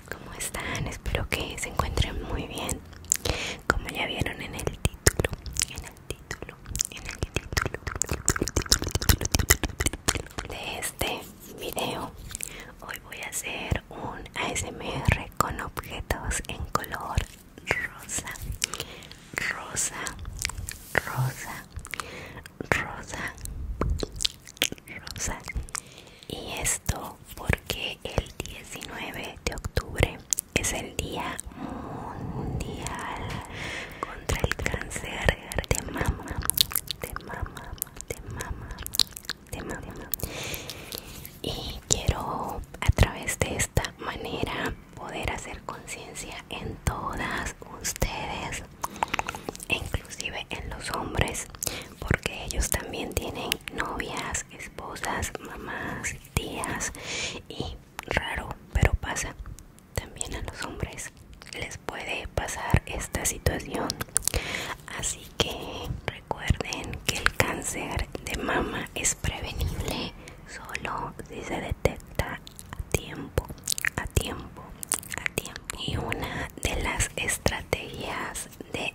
Pues, ¿cómo están? Espero que se encuentren muy bien. Como ya vieron en el título, en el título, en el título de este video, hoy voy a hacer un ASMR con objetos en color rosa, rosa, rosa, rosa, rosa. Y esto porque el 19 de octubre es el Día Mundial contra el Cáncer de Mama, de Mama, de Mama, de Mama. Y quiero a través de esta manera poder hacer conciencia en todas ustedes, inclusive en los hombres porque ellos también tienen novias, esposas, mamás, tías y raro, pero pasa también a los hombres les puede pasar esta situación. Así que recuerden que el cáncer de mama es prevenible solo si se detecta a tiempo, a tiempo, a tiempo. Y una de las estrategias de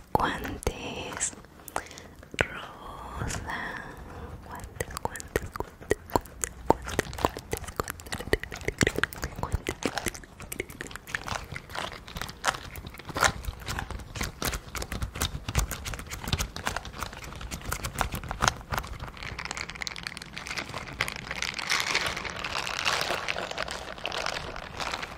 cuantes guantes rosa guantes guantes guantes guantes guantes guantes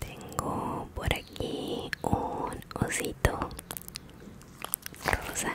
Tengo por aquí un osito rosa.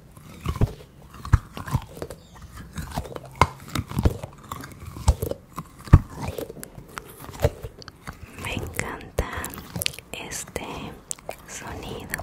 Me encanta este sonido.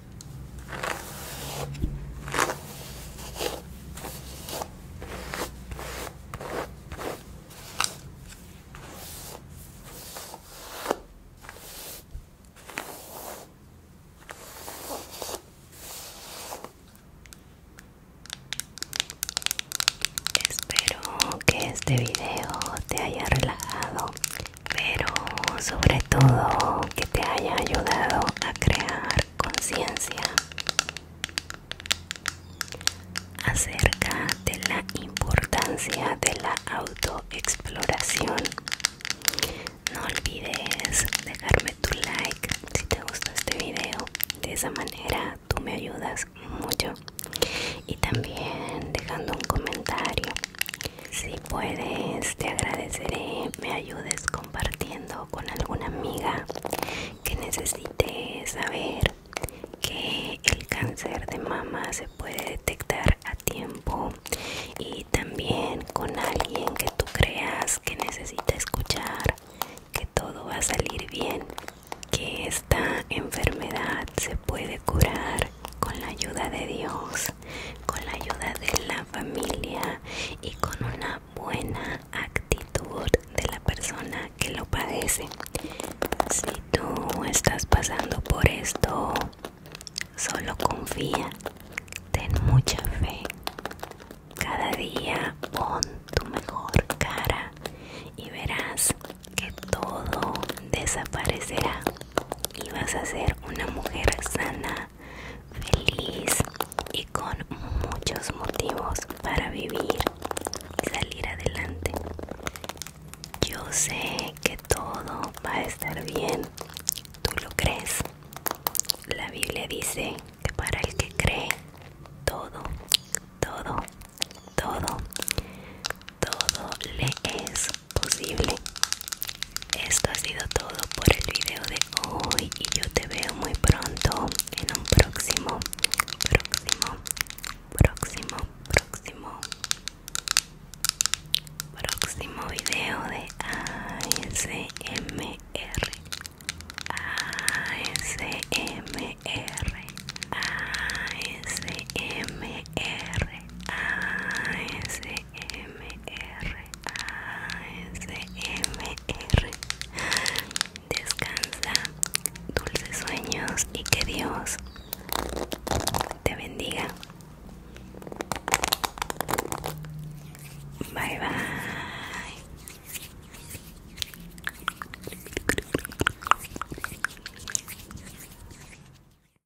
Espero que este video te haya relajado pero sobre todo que te haya ayudado a crear conciencia acerca de la importancia de la autoexploración. No olvides dejarme tu like si te gustó este video. De esa manera tú me ayudas mucho. Y también dejando un comentario si puedes, te agradeceré me ayudes compartiendo con alguna amiga que necesite saber que el cáncer de mama se puede detectar a tiempo y también con alguien que tú creas que necesita escuchar que todo va a salir bien, que esta enfermedad se puede curar con la ayuda de Dios con la ayuda de la familia y con una buena actitud de la persona que lo padece. Si tú estás pasando por esto, solo confía, ten mucha fe. Cada día pon tu mejor cara y verás que todo desaparecerá y vas a ser una mujer sana, feliz y con muchos motivos para vivir y salir adelante. Yo sé que todo va a estar bien, tú lo crees. La Biblia dice que para el que cree, todo, todo, todo, todo le es posible. Esto ha sido todo por el video de hoy y yo te veo muy pronto en un próximo, próximo, próximo, próximo, próximo video de ASMR. ASMR. ASMR. ASMR. M-R-A-S-M-R Descansa, dulces sueños y que Dios te bendiga. Bye bye.